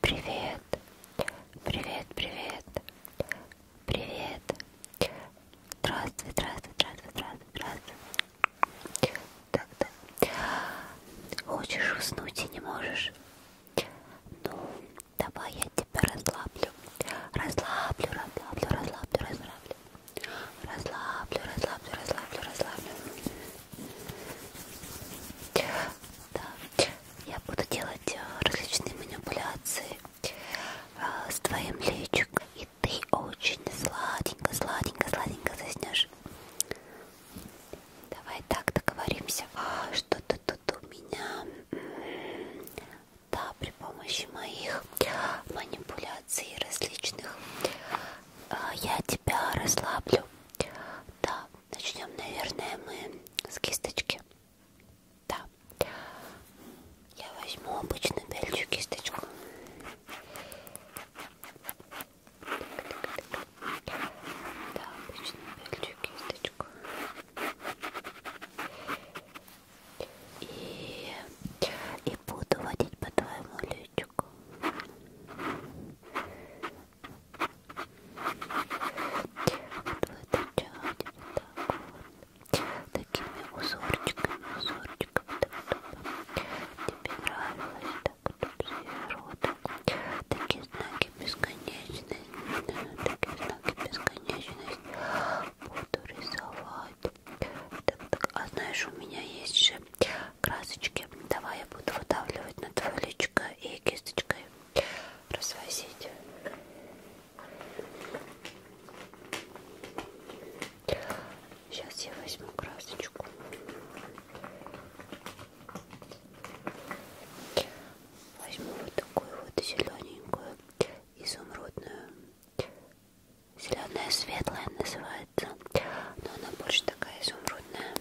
Привет, привет, привет, привет. Здравствуй, здравствуй, здравствуй, здравствуй, здравствуй. Так, да. Хочешь уснуть и не можешь? Ну, давай я тебя расслаблю. Расслаблю, расслаблю, расслаблю, расслаблю. Расслаблю, расслаблю, расслаблю, расслаблю. Да. Я буду делать э, различные манипуляции э, с твоим личиком. И ты очень сладенько, сладенько, сладенько заснешь. Давай так договоримся. Что ты тут у меня? Да, при помощи моих манипуляций различных э, я тебя расслаблю. Да, начнем, наверное, мы с кисточки. Да. Я возьму обычную белью кисточку. Да, обычную белью кисточку. И, и буду водить по твоему личику. Отводочать вот так вот. Такими узорчиками, узорчиками. Так, чтобы тебе нравилось. Так, чтобы сверху. Такие знаки бесконечности. Такие знаки бесконечности. Буду рисовать. Так, так. А знаешь, у меня есть же красочки. Давай я буду выдавливать на твое личико и кисточкой развозить. Сейчас я возьму красочку. Возьму вот такую вот зелененькую, изумрудную. Зеленая светлая называется называется. Но она больше такая изумрудная.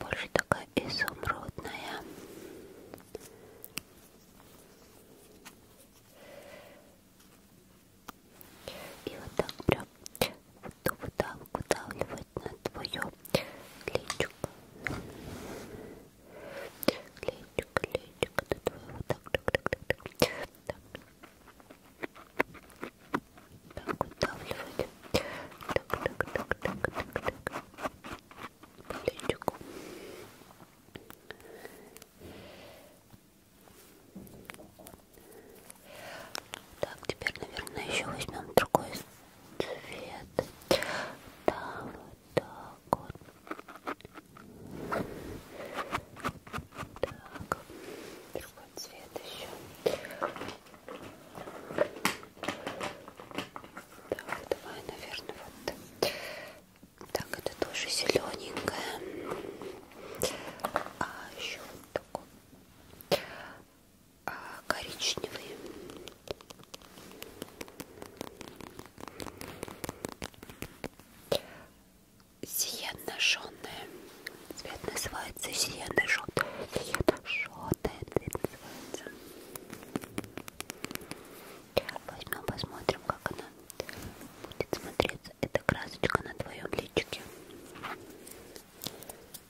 Больше такая изумрудная. И вот так прям выдавливать на твое плечико. Клейчик, клейчик, это твой вот так, так, так, так, так. Так, удавливать. Так, так, так, так, так, так. Клейчик. Так, теперь, наверное, еще возьмем другой цвет. Да, вот так вот. Так, другой цвет еще. Так, давай, наверное, вот. Так, это тоже зелененькая. А еще вот такой. А, коричневые. Сиенно-жженая. Цвет называется сиенно-жженая. Сиенно-жженая цвет называется. Возьмем, посмотрим, как она будет смотреться. Это красочка на твоем личике.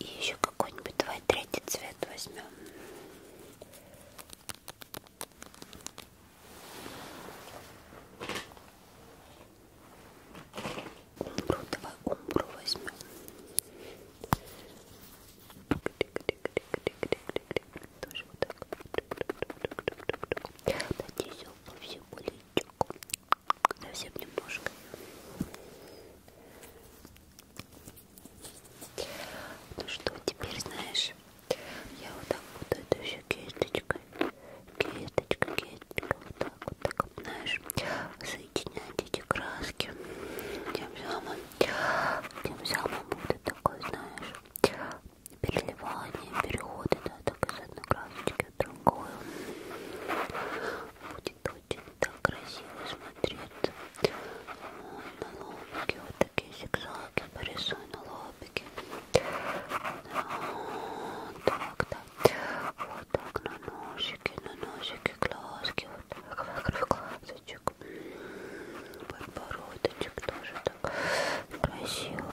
И еще какой-нибудь, давай третий цвет возьмем. Умбру, давай умбру возьмем. Тоже вот так. Надеюсь, обувь все болит Совсем немножко. Ну что, теперь знаешь, я вот так буду это еще кисточкой, кисточка, кисточка, вот так, вот так, знаешь, соединять эти краски. Тем самым, тем самым будет такое, знаешь, переливание, переходы, да, только с одной красочки в другую. Будет очень так красиво смотреться. На лобике вот такие зигзаги порисую на лобике. Так, так. Вот так на ножики, на ножики глазки. Вот так вокруг глазочек. Подбородочек тоже так красиво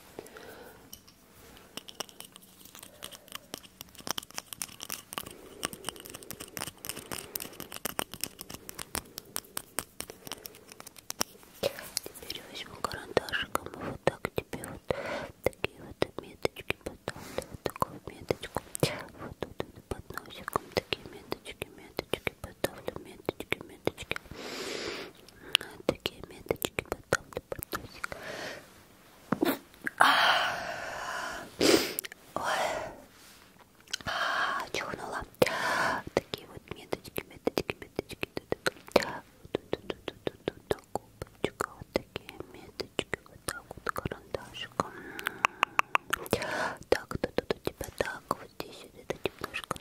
Теперь возьму карандашиком и вот так тебе вот такие вот меточки потом вот такую меточку вот тут вот, под носиком такие меточки меточки меточки поставлю, меточки, меточки. Вот такие меточки поставлю, подносик. Ой. А, чихнула. Такие вот меточки, меточки, меточки. Губочка, вот такие меточки, вот так вот карандашиком. Так, тут у тебя типа так, вот здесь вот это немножко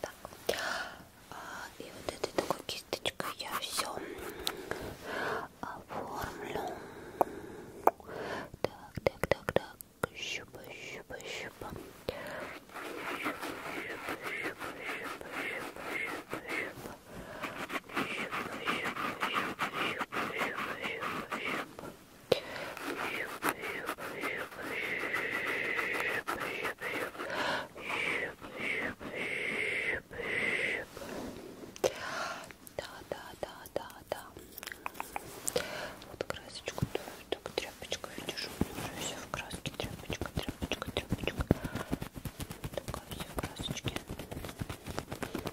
Так. И вот этой такой кисточкой я все оформлю. Так, так, так, так. Щупа, щупа, щупа. Щупа, щупа, щупа, щупа, щупа. Да, да, да, да, да. Вот красочку твою, так тряпочка, видишь, у меня уже все в краске. Тряпочка, тряпочка, тряпочка. Такая вся в красочке. Так,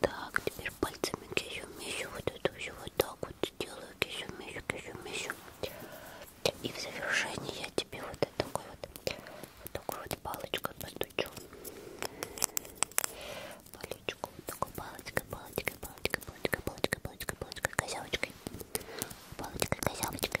Так, теперь пальцами кишу-мишу, вот это все вот так вот делаю, кишу-мишу, кишу-мишу. И в завершении я тебе вот такой вот, вот такой вот палочкой постучу. Палочку, вот такой палочкой, палочкой, палочкой, палочкой, палочкой, палочкой, палочкой, козявочкой. Палочкой, козявочкой.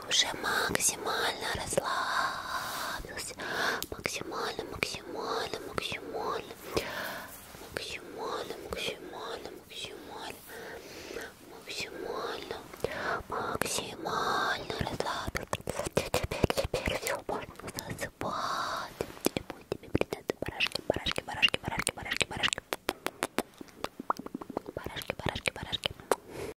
ты уже максимально расслабился, максимально, максимально, максимально, максимально, максимально, максимально, максимально, максимально расслабился. Теперь, теперь все можно засыпать. И будет тебе придется барашки, барашки, барашки, барашки, барашки, барашки. Барашки, барашки, барашки.